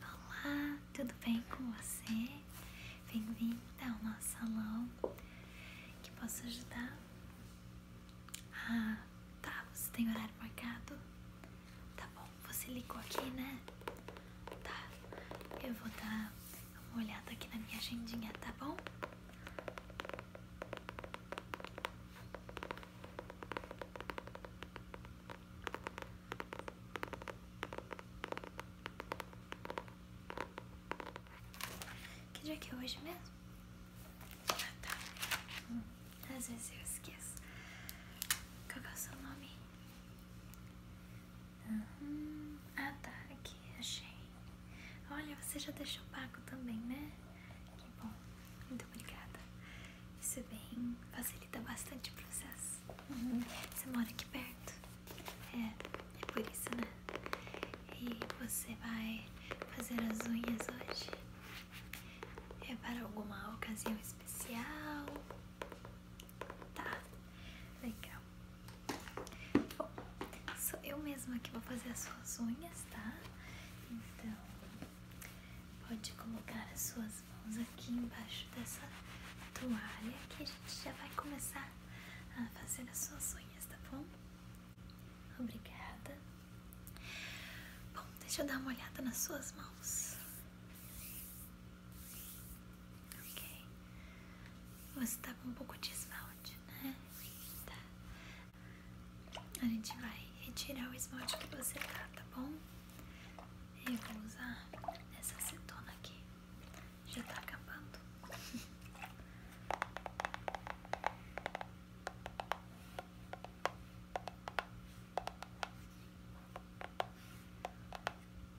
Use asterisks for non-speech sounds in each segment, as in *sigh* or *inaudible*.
Olá, tudo bem com você? Bem-vinda ao nosso salão. Que posso ajudar? Ah, tá. Você tem horário marcado? Tá bom. Você ligou aqui, né? Tá. Eu vou dar Dá uma olhada aqui na minha agendinha, tá bom? Que dia é hoje mesmo? Ah, tá. Hum, às vezes eu esqueço. Qual é o seu nome? Ah tá, aqui, achei. Olha, você já deixou o pago também, né? Que bom, muito obrigada. Isso é facilita bastante o processo. Uhum. Você mora aqui perto? É, é por isso, né? E você vai fazer as unhas hoje? É para alguma ocasião especial? Tá, legal. Bom, sou eu mesma que vou fazer as suas unhas, tá? Então, pode colocar as suas mãos aqui embaixo dessa toalha que a gente já vai começar a fazer as suas unhas, tá bom? Obrigada. Bom, deixa eu dar uma olhada nas suas mãos. Ok? Você tá com um pouco de esmalte, né? Tá. A gente vai retirar o esmalte que você tá, tá bom? Eu vou usar essa acetona aqui. Já tá acabando.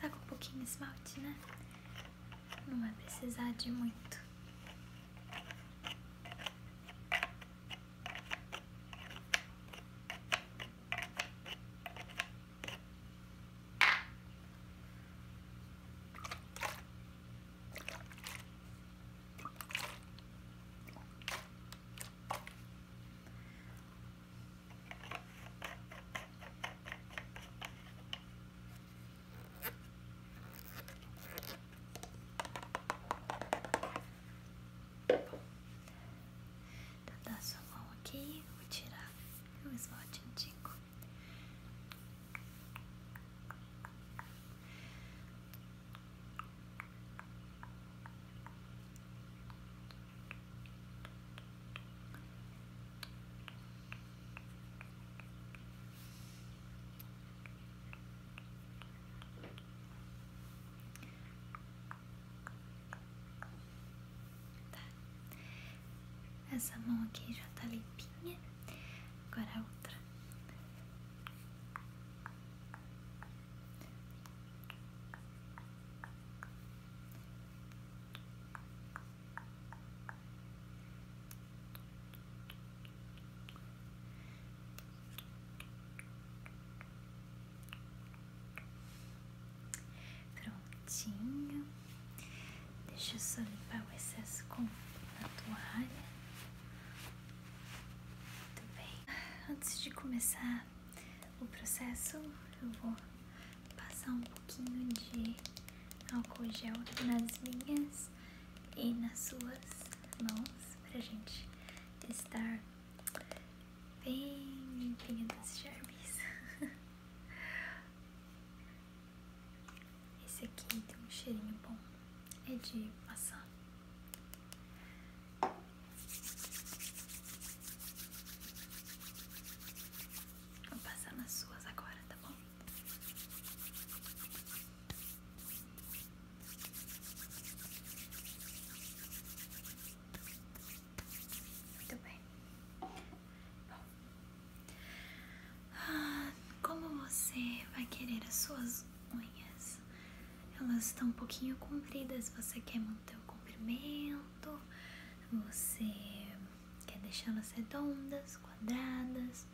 Saca tá um pouquinho de esmalte, né? Não vai precisar de muito. Então tá sua mão aqui, vou tirar o esmalte antigo. Tá. Essa mão aqui já tá limpinha, agora a outra. Prontinho. Deixa eu só limpar o excesso com a toalha. Muito bem. Antes de começar o processo, eu vou passar um pouquinho de álcool gel nas minhas e nas suas mãos para gente estar bem limpinha dos germes. *laughs* Esse aqui tem um cheirinho bom. É de maçã. Vou passar nas suas agora, tá bom? Muito bem. Bom, ah, como você vai querer as suas unhas? Elas estão um pouquinho compridas. Você quer manter o comprimento? Você quer deixá-las redondas, quadradas?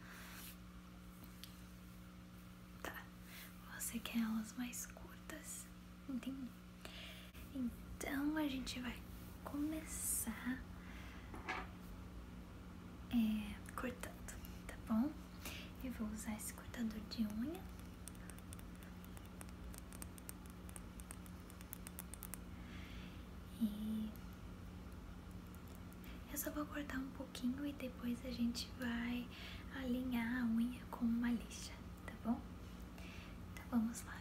Tá. Você quer elas mais curtas? Entendi. Então a gente vai começar é, cortando, tá bom? Eu vou usar esse cortador de unha. E eu só vou cortar um pouquinho e depois a gente vai alinhar a unha com uma lixa, tá bom? Então vamos lá.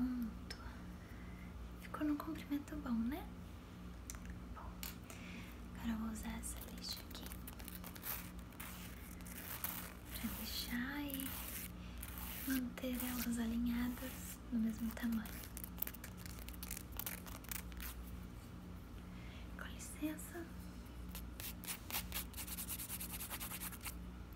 Pronto. Ficou num comprimento bom, né? Bom, agora eu vou usar essa lixa aqui pra deixar e manter elas alinhadas no mesmo tamanho. Com licença.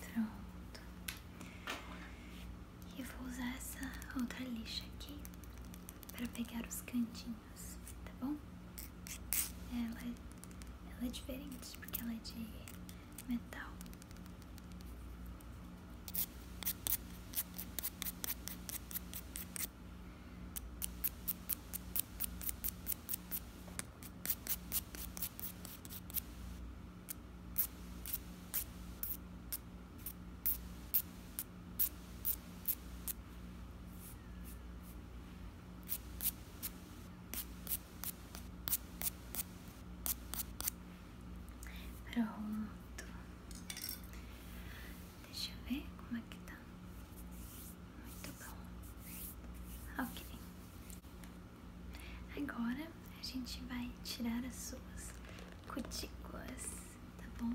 Pronto. E vou usar essa outra lixa aqui para pegar os cantinhos, tá bom? Ela, é, ela é diferente porque ela é de metal. Pronto. Deixa eu ver como é que tá. Muito bom. Ok. Agora a gente vai tirar as suas cutículas, tá bom?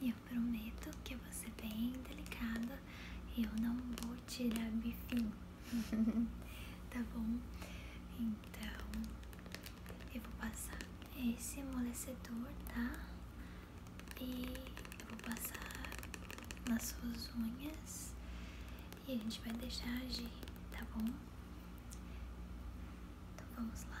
E eu prometo que eu vou ser é bem delicada. e Eu não vou tirar bifinho, *laughs* tá bom? Então eu vou passar esse amolecedor, tá? E eu vou passar nas suas unhas e a gente vai deixar agir, tá bom? Então vamos lá.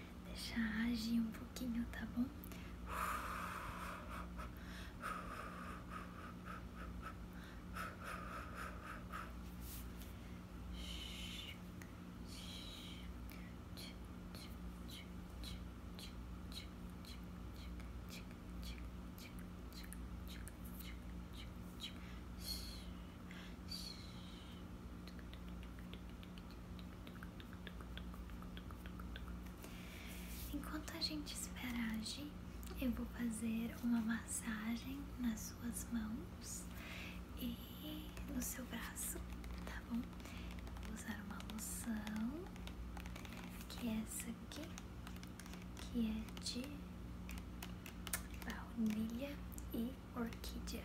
deixar agir um pouquinho, tá bom? Enquanto a gente espera agir, eu vou fazer uma massagem nas suas mãos e no seu braço, tá bom? Vou usar uma loção, que é essa aqui, que é de baunilha e orquídea.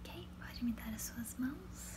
Ok, pode me dar as suas mãos.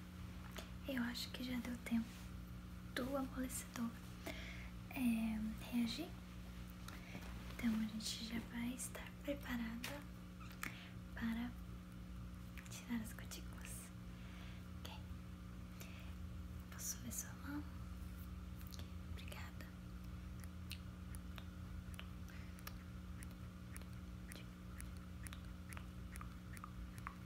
Eu acho que já deu tempo do amolecedor é, reagir. Então a gente já vai estar preparada para tirar as cutículas. Ok? Posso ver sua mão? Okay, obrigada.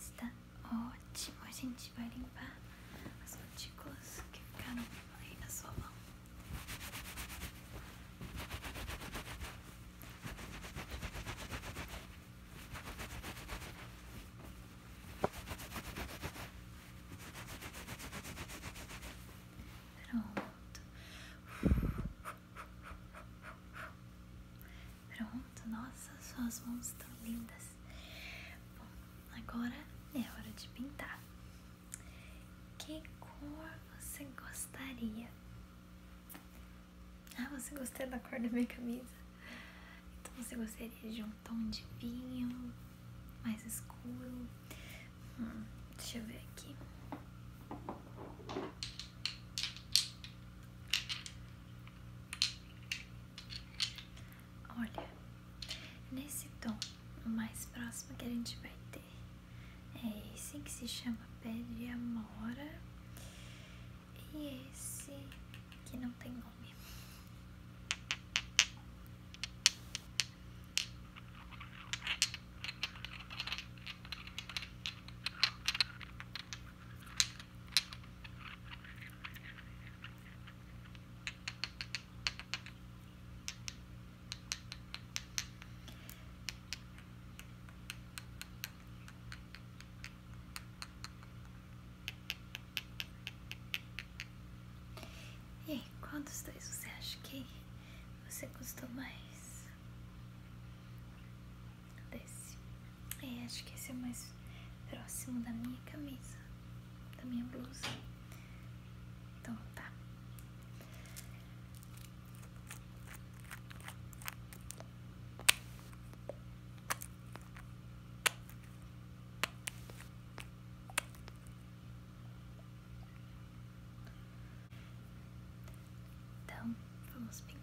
Está ótimo. A gente vai limpar as cutículas que ficaram aí na sua mão. Pronto. Pronto, nossa, suas mãos estão lindas. Bom, agora é hora de pintar. Que cor você gostaria? Ah, você gostou da cor da minha camisa? Então você gostaria de um tom de vinho mais escuro? Hum, deixa eu ver aqui. Olha, nesse tom, o mais próximo que a gente vai ter é esse que se chama pé de amora e esse que não tem nome. E quantos dois você acha que você gostou mais? desse. É, acho que esse é mais próximo da minha camisa, da minha blusa. Então tá. Então, vamos pintar.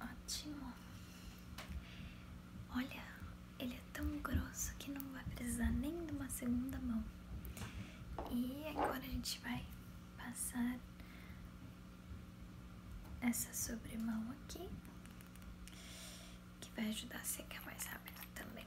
Ótimo. Olha, ele é tão grosso que não vai precisar nem de uma segunda mão. E agora a gente vai passar essa sobremão aqui, que vai ajudar a secar mais rápido também.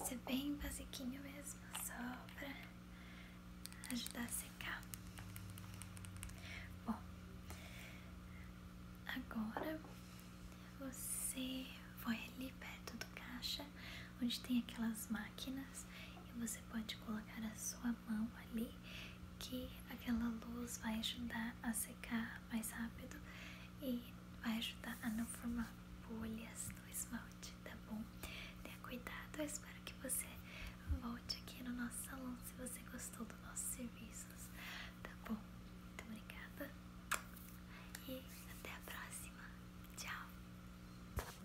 Esse é bem basiquinho mesmo, só pra ajudar a secar. Bom, agora você vai ali perto do caixa onde tem aquelas máquinas e você pode colocar a sua mão ali que aquela luz vai ajudar a secar mais rápido e vai ajudar a não formar bolhas no esmalte, tá bom? Tenha cuidado, eu espero que você volte aqui no nosso salão se você gostou dos nossos serviços, tá bom? Muito obrigada e até a próxima, tchau!